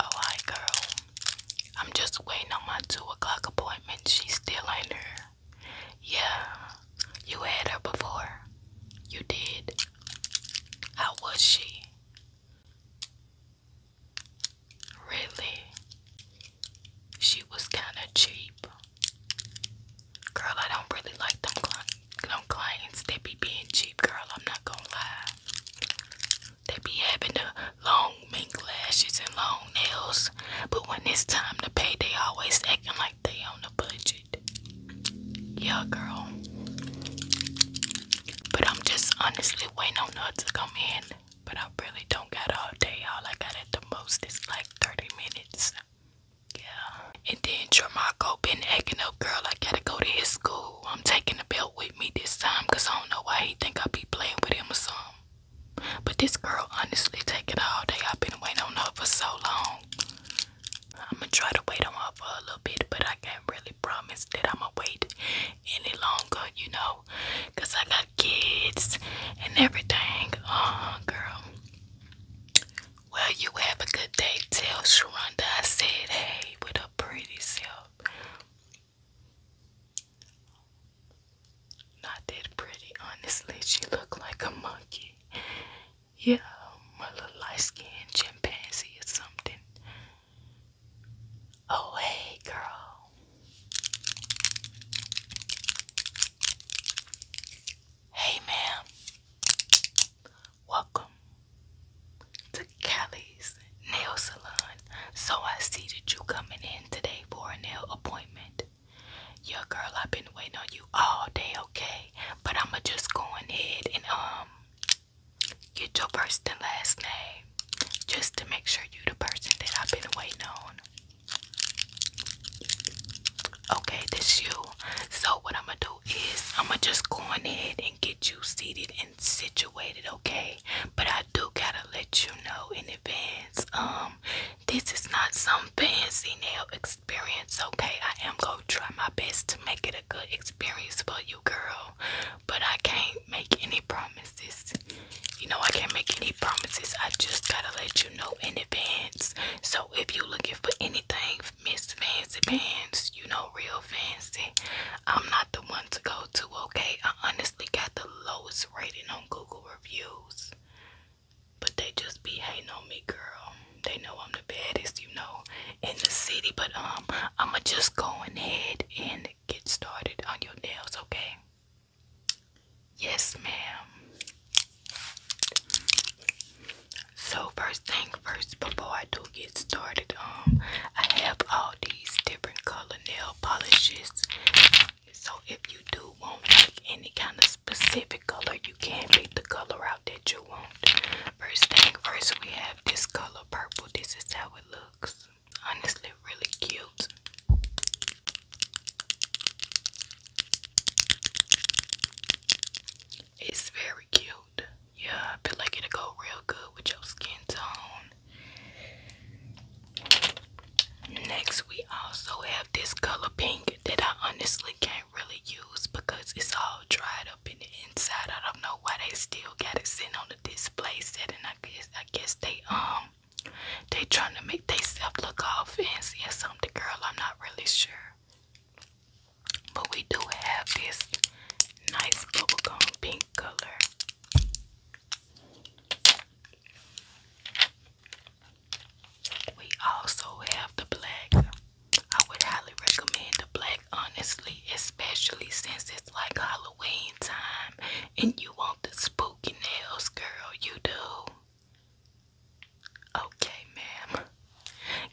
Alright, oh, girl. I'm just waiting on my 2 o'clock appointment. She's still in there. Yeah, you had her before. You did. How was she? Really? She was kind of cheap. Girl, I don't really like them them clients, they be being cheap, girl. I'm not gonna lie. They be having the long mink lashes and long nails, but when it's time to pay, they always acting like they on a budget. Yeah, girl. But I'm just honestly waiting on her to come in. But I really don't got all day. All I got at the most is like 30 minutes. Yeah. And then Dramarco been acting up, girl. I gotta go to his school. I'm taking the belt with me this time because I don't know why he think I be playing with him or But this girl honestly taking all day. I've been waiting on her for so long. I'ma try to wait on her for a little bit, but I can't really promise that I'ma wait any longer, you know, because I got kids and everything. Uh-huh, girl. Well, you have a good day. Tell Sharonda I said hey with a pretty self. Not that pretty, honestly. She looked like a monkey. Yeah, my little light skinned chimpanzee or something. Oh, hey, girl. Hey, ma'am. Welcome to Callie's Nail Salon. So I see that you coming in today for a nail appointment. Yeah, girl, I've been waiting on you all day, okay? But I'ma just go ahead and um get your first and last name just to make sure you the person that I've been waiting on. Okay, this you. So what I'ma do I'm gonna just go ahead and get you seated and situated, okay? But I do gotta let you know in advance. Um, this is not some fancy nail experience, okay? I am gonna try my best to make it a good experience for you, girl. But I can't make any promises. You know, I can't make any promises. I just gotta let you know in advance. So if you're looking for anything Miss Fancy Pants, you know, real fancy. I'm not the one to go to, okay? I honestly got the lowest rating on Google reviews. But they just be hating on me, girl. They know I'm the baddest, you know, in the city. But um, I'ma just go ahead and get started on your nails, okay? Yes, ma'am. So first thing first, before I do get started, um, I have all these different color nail polishes. So if you do want like any kind of specific color, you can pick the color out that you want. First thing first, we have this color purple. This is how it looks. Honestly, really cute. It's very cute. Yeah, I feel like it'll go real good with your skin tone. Next, we also have this color pink that I honestly can't really use because it's all dried up in the inside. I don't know why they still got it sitting on the display set, and I guess I guess they um they trying to make themselves look all fancy or something. Girl, I'm not really sure. But we do have this nice bubblegum pink color. We also have the black. I would highly recommend the black, honestly, especially since it's like Halloween time and you want the spooky nails, girl. You do. Okay, ma'am.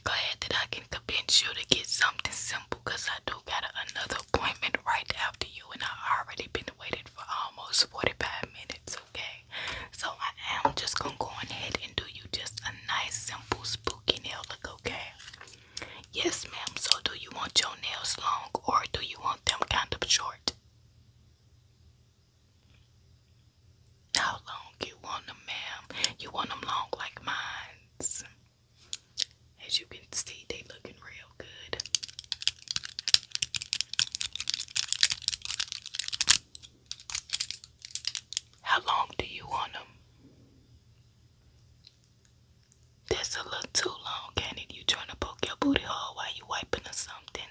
Glad that I can convince you to get something simple I do got another appointment right after you, and I already been waiting for almost 45 minutes, okay? So I am just gonna go ahead and do you just a nice, simple, spooky nail look, okay? Yes, ma'am. So do you want your nails long or do you want them kind of short? How long you want them, ma'am? You want them long like mine's? As you can see, they looking real good. How long do you want them? That's a little too long, can it? You trying to poke your booty hole while you wiping or something?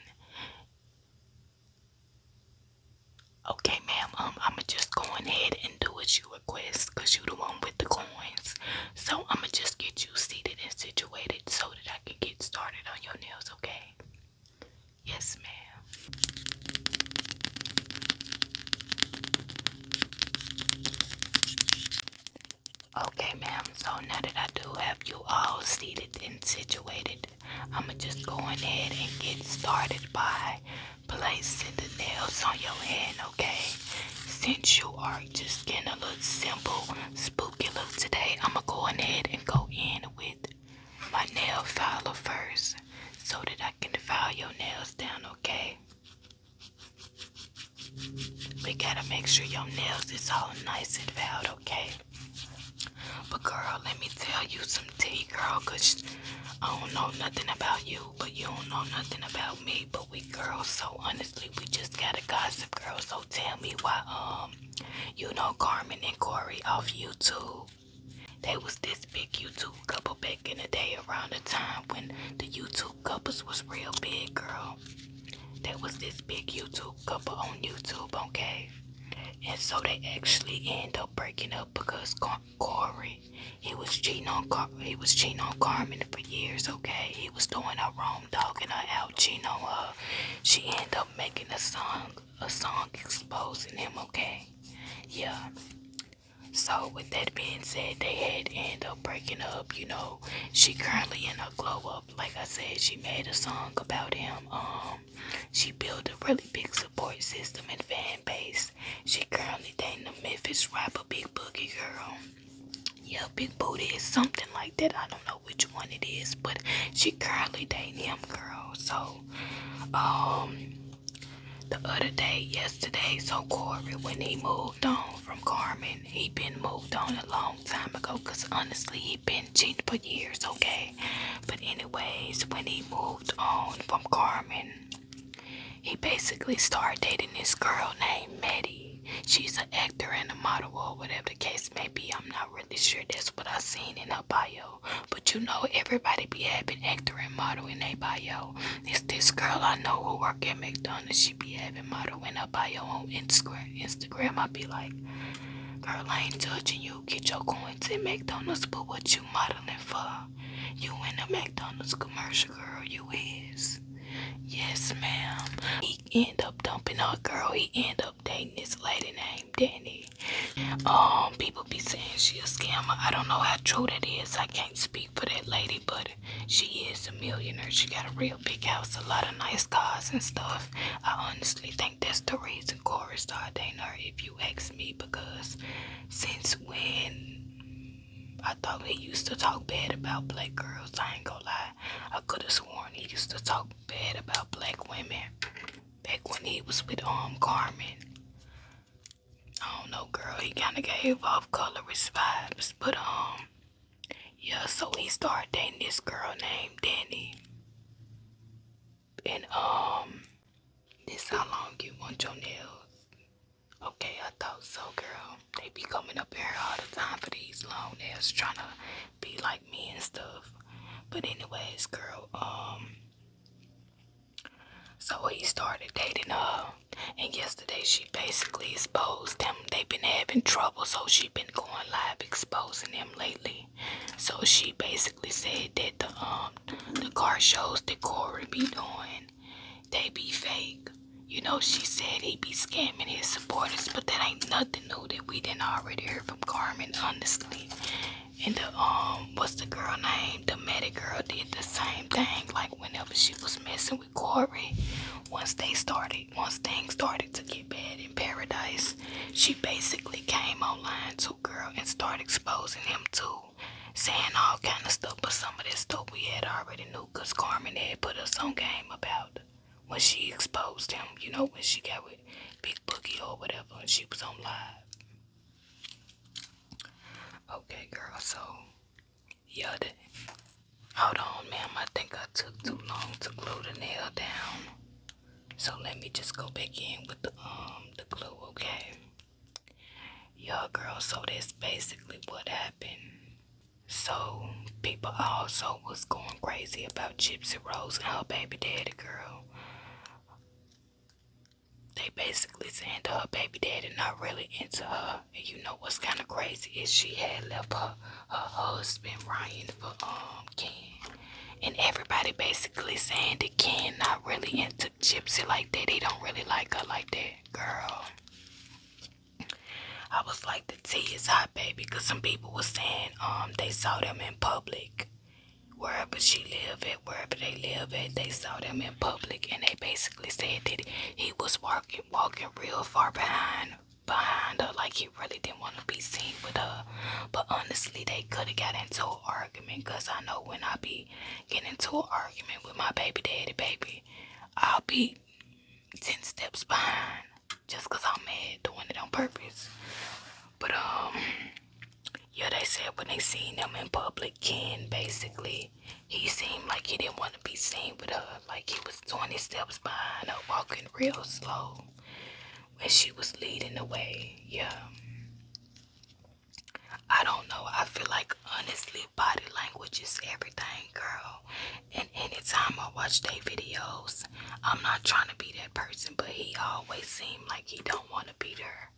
Okay, ma'am, um, I'ma just go ahead and do what you request because you the one with the coins. So I'ma just get you seated and situated so that I can get started on your nails, okay? Yes, ma'am. Okay, ma'am. So now that I do have you all seated and situated, I'ma just go ahead and get started by placing the nails on your head, okay? Since you are just getting a little simple, spooky look today, I'm gonna go ahead and go in with my nail file first so that I can file your nails down, okay? We gotta make sure your nails is all nice and filed, okay? But girl, let me tell you some tea, girl, cause I don't know nothing about you but you don't know nothing about me. But we girls, so honestly, we just gotta gossip, girl. So tell me why, um, you know Carmen and Corey off YouTube. They was this big YouTube couple back in the day around the time when the YouTube couples was real big, girl. They was this big YouTube couple on YouTube, okay? And so they actually end up breaking up because Corey, he was cheating on he was cheating on Carmen for years. Okay, he was doing a wrong, dogging her out, cheating on her. She ended up making a song, a song exposing him. Okay, yeah. So with that being said, they had end up breaking up. You know, she currently in a glow up. Like I said, she made a song about him. Um, she built a really big support system and fan base. She currently dating a Memphis rapper, Big Boogie Girl. Yeah, Big Booty is something like that. I don't know which one it is, but she currently dating him, girl. So, um, the other day, yesterday, so Corey, when he moved on from Carmen, he been moved on a long time ago, because honestly, he been cheating for years, okay? But anyways, when he moved on from Carmen, he basically started dating this girl named Maddie. She's an actor and a model or whatever the case may be. I'm not really sure that's what I seen in her bio. But you know everybody be having actor and model in their bio. It's this girl I know who work at McDonald's. She be having model in her bio on Instagram. Instagram I be like Girl, I ain't judging you. Get your coins at McDonald's, but what you modeling for? You in a McDonald's commercial, girl. You is. Yes, ma'am. He end up dumping her, girl. He end up dating this lady named Danny. Um, people be saying she a scammer. I don't know how true that is. I can't speak for that lady, but she is a millionaire. She got a real big house, a lot of nice cars and stuff. I honestly think that's the reason Corey started dating her, if you ask me, because since when I thought he used to talk bad about black girls. I ain't gonna lie. I could have sworn he used to talk bad about black women back when he was with um Carmen. I don't know, girl. He kind of gave off colorist vibes, but um, yeah. So he started dating this girl named Danny, and um, this how long you want your nails Okay, I thought so, girl. They be coming up here all the time for these long nails, trying to be like me and stuff. But anyways, girl, um, so he started dating her, and yesterday she basically exposed them. They've been having trouble, so she been going live exposing them lately. So she basically said that the um the car shows that Corey be doing saying they be fake. You know, she said he be scamming his supporters, but that ain't nothing new that we didn't already hear from Carmen, honestly. And the, um, what's the girl name? The medic girl did the same thing. Like, whenever she was messing with Corey, once they started, once things started to get bad in paradise, she basically came online to girl and started exposing him too. Saying all kind of stuff, but some of this stuff we had already knew cause Carmen had put us on game about when she exposed him. You know when she got with Big Boogie or whatever, and she was on live. Okay, girl. So yeah, hold on, ma'am. I think I took too long to glue the nail down. So let me just go back in with the um the glue, okay? Yeah, girl, so that's basically what happened. So, people also was going crazy about Gypsy Rose and her baby daddy, girl. They basically saying that her baby daddy not really into her. And you know what's kind of crazy is she had left her, her husband, Ryan, for um, Ken. And everybody basically saying that Ken not really into Gypsy like that. They don't really like her like that, girl. I was like, the tea is hot, baby, because some people were saying um they saw them in public. Wherever she lived at, wherever they live at, they saw them in public and they basically said that he was walking walking real far behind behind her, like he really didn't want to be seen with her. But honestly, they could have got into an argument because I know when I be getting into an argument with my baby daddy, baby, I'll be 10 steps behind just because I'm mad doing it on purpose. But, um, yeah, they said when they seen him in public, Ken basically, he seemed like he didn't want to be seen with uh, her. Like he was twenty steps behind her, walking real slow when she was leading the way. Yeah. I don't know. I feel like honestly, body language is everything, girl. And anytime I watch their videos, I'm not trying to be that person, but he always seemed like he don't want to be there.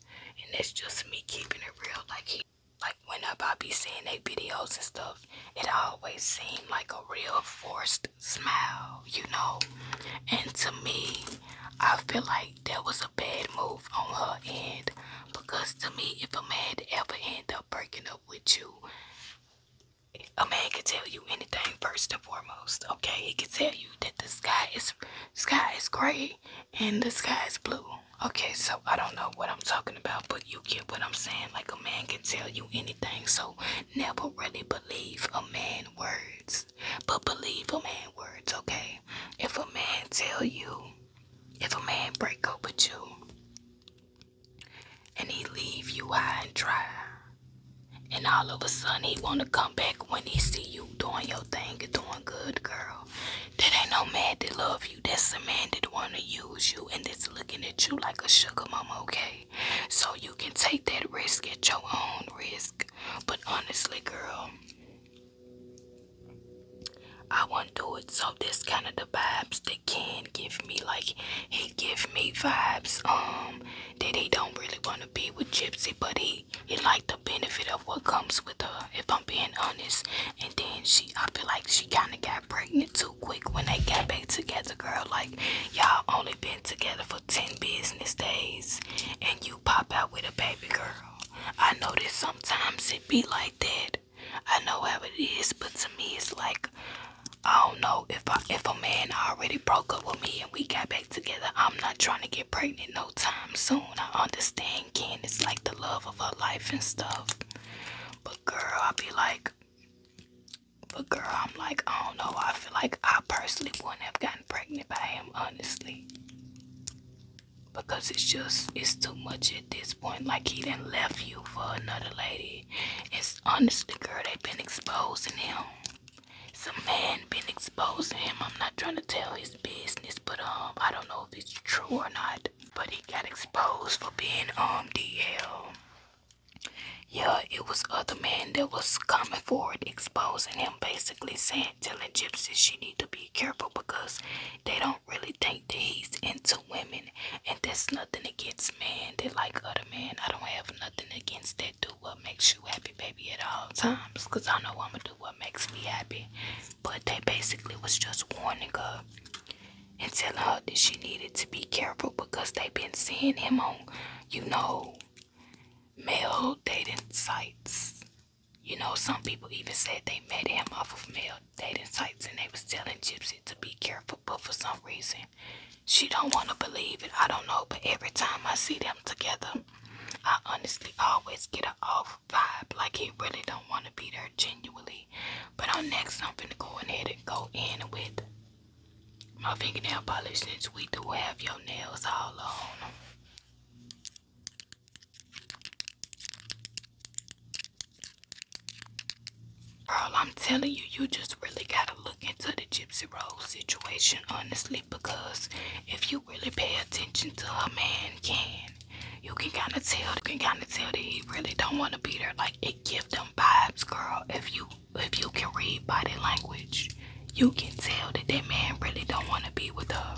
And it's just me keeping it real. Like he, like whenever I be seeing their videos and stuff, it always seemed like a real forced smile, you know. And to me, I feel like that was a bad move on her end. Because to me, if a man ever end up breaking up with you. A man can tell you anything first and foremost. Okay, he can tell you that the sky is sky is gray and the sky is blue. Okay, so I don't know what I'm talking about, but you get what I'm saying. Like a man can tell you anything, so never really believe a man words, but believe a man words. Okay, if a man tell you, if a man break up with you, and he leave you high and dry. And all of a sudden he wanna come back when he see you doing your thing and doing good, girl. That ain't no man that love you. That's a man that wanna use you and that's looking at you like a sugar mama, okay? So you can take that risk at your own risk. But honestly, girl, I won't do it. So this kind of the vibes that can give me like he give me vibes um that he don't really want to be with Gypsy, but he he like the benefit of what comes with her. If I'm being honest, and then she I feel like she kind of got pregnant too quick when they got back together, girl. Like y'all only been together for ten business days, and you pop out with a baby girl. I know that sometimes it be like that. I know how it is, but to me, it's like I don't know if if a man already broke up with me and we got back together. I'm not trying to get pregnant no time soon. I understand Ken It's like the love of her life and stuff, but girl, I be like, but girl, I'm like, I don't know. I feel like I personally wouldn't have gotten pregnant by him, honestly, because it's just it's too much at this point, like he didn't left you for another lady. It's honestly, girl, they've been exposing him. Some man been exposing him. I'm not trying to tell his business, but um, I don't know if it's true or not. But he got exposed for being um DL. Yeah, it was other men that was coming forward exposing him, basically saying, telling gypsies she need to be careful because they don't really really think that he's into women and that's nothing against men that like other men. I don't have nothing against that. Do what makes you happy, baby, at all times. Cause I know I'ma do what makes me happy. But they basically was just warning her and telling her that she needed to be careful because they've been seeing him on, you know, male dating sites. You know, some people even said they met him off of male they didn't sites and they was telling Gypsy to be careful, but for some reason, she don't want to believe it. I don't know, but every time I see them together, I honestly always get an off vibe, like he really don't want to be there genuinely. But on next, I'm finna go ahead and go in with my fingernail polish since we do have your nails all on. Girl, I'm telling you, you just really gotta look into the Gypsy Rose situation, honestly, because if you really pay attention to a man, can you can kind of tell, you can kind of tell that he really don't want to be there. Like it give them vibes, girl. If you if you can read body language, you can tell that that man really don't want to be with her.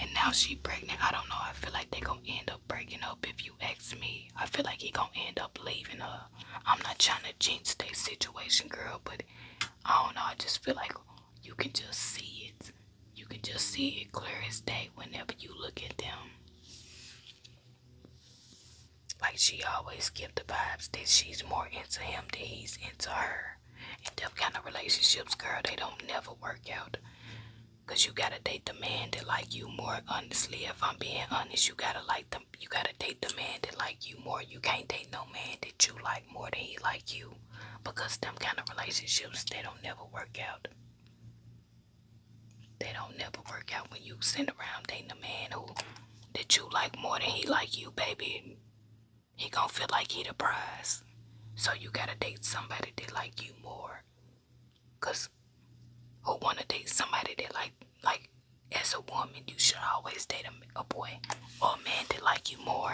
And now she pregnant. I don't know. I feel like they gonna end up breaking up if you ask me. I feel like he gonna end up leaving her. I'm not trying to change their situation, girl, but I don't know. I just feel like you can just see it. You can just see it clear as day whenever you look at them. Like she always give the vibes that she's more into him than he's into her. And them kind of relationships, girl, they don't never work out. Cause you gotta date the man that like you more. Honestly, if I'm being honest, you gotta like them. You gotta date the man that like you more. You can't date no man that you like more than he like you, because them kind of relationships they don't never work out. They don't never work out when you send around dating a man who that you like more than he like you, baby. He gonna feel like he the prize. So you gotta date somebody that like you more. Cause who wanna date somebody that like like as a woman you should always date a, a boy or a man that like you more.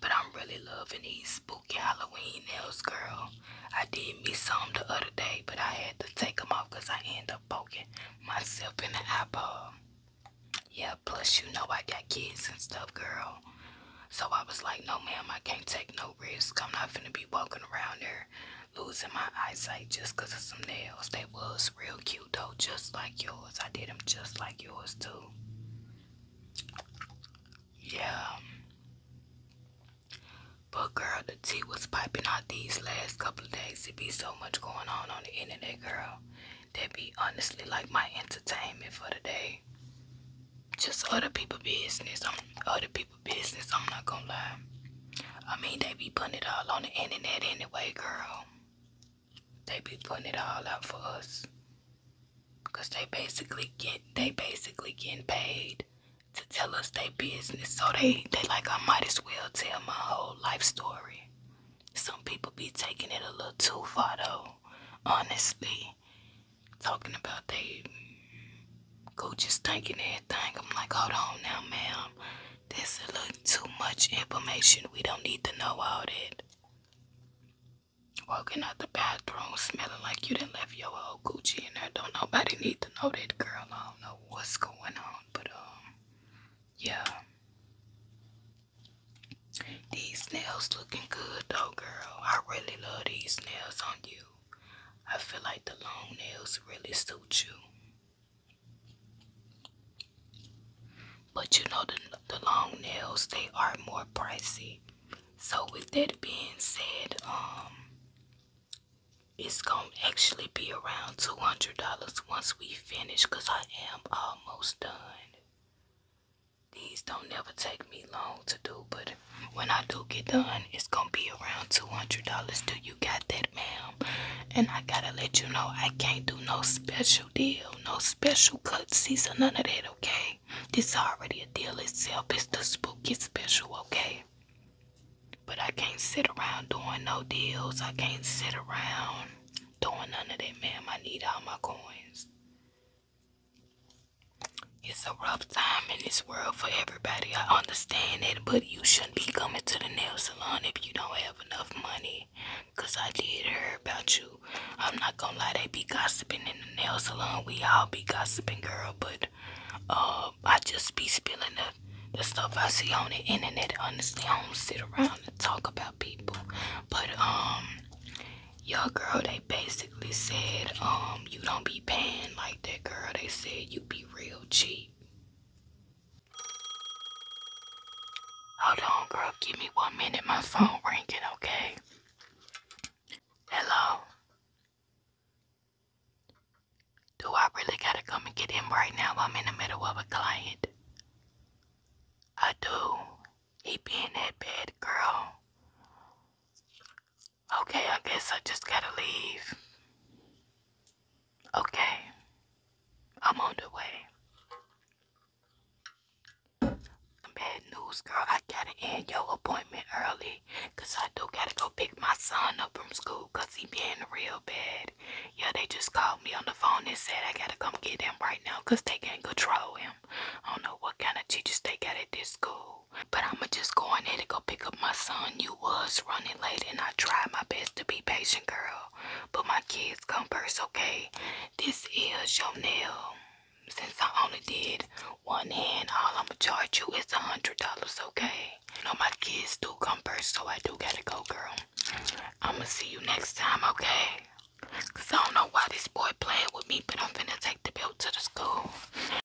But I'm really loving these spooky Halloween nails, girl. I did me some the other day, but I had to take them off because I end up poking myself in the eyeball. Yeah, plus you know I got kids and stuff, girl. So I was like, no ma'am, I can't take no risk. I'm not finna be walking around there losing my eyesight just cause of some nails. They was real cute though, just like yours. I did them just like yours too. Yeah. But girl, the tea was piping out these last couple of days. It be so much going on on the internet, girl. That be honestly like my entertainment for the day just other people business. I'm other people business. I'm not gonna lie. I mean, they be putting it all on the internet anyway, girl. They be putting it all out for us, cause they basically get they basically getting paid to tell us their business. So they they like I might as well tell my whole life story. Some people be taking it a little too far though, honestly talking about they coaches stinking everything. I'm like, hold on now, ma'am. This is a little too much information. We don't need to know all that. Walking out the bathroom smelling like you done left your old Gucci in there. Don't nobody need to know that, girl. I don't know what's going on, but um, yeah. These nails looking good though, girl. I really love these nails on you. I feel like the long nails really suit you. But you know the, the long nails they are more pricey. So with that being said, um it's gonna actually be around $200 once we finish because I am almost done. These don't never take me long to do, but when I do get done, it's gonna be around $200. Do you got that, ma'am? And I gotta let you know, I can't do no special deal, no special cutsies or none of that, okay? This already a deal itself. It's the spooky special, okay? But I can't sit around doing no deals. I can't sit around doing none of that, ma'am. I need all my coins. It's a rough time in this world for everybody. I understand it, but you shouldn't be coming to the nail salon if you don't have enough money. Cause I did hear about you. I'm not gonna lie, they be gossiping in the nail salon. We all be gossiping, girl. But uh, I just be spilling the the stuff I see on the internet. Honestly, I don't sit around and talk about people. But um, your girl, they they basically said, um, you don't be paying like that, girl. They said you be real cheap. Hold on, girl. Give me one minute. My phone ringing, okay? Hello? Do I really gotta come and get him right now? I'm in the middle of a client. I do. He being that bad, girl. Okay, I guess I just gotta leave. Okay, I'm on the way. Bad news, girl. I gotta end your appointment early because I do gotta go pick my son up from school because he being real bad. Yeah, they just called me on the phone and said I gotta come get him right now because they can't control him. I don't know what kind of teachers they got at this school. But I'ma just go in there to go pick up my son. You was running late and I tried my best to be patient, girl. But my kids come first, okay? This is your nail. Since I only did one hand, all I'ma charge you is a hundred dollars, okay? You know my kids do come first, so I do gotta go, girl. I'ma see you next time, okay? Cause I don't know why this boy playing with me, but I'm finna take the bill to the school.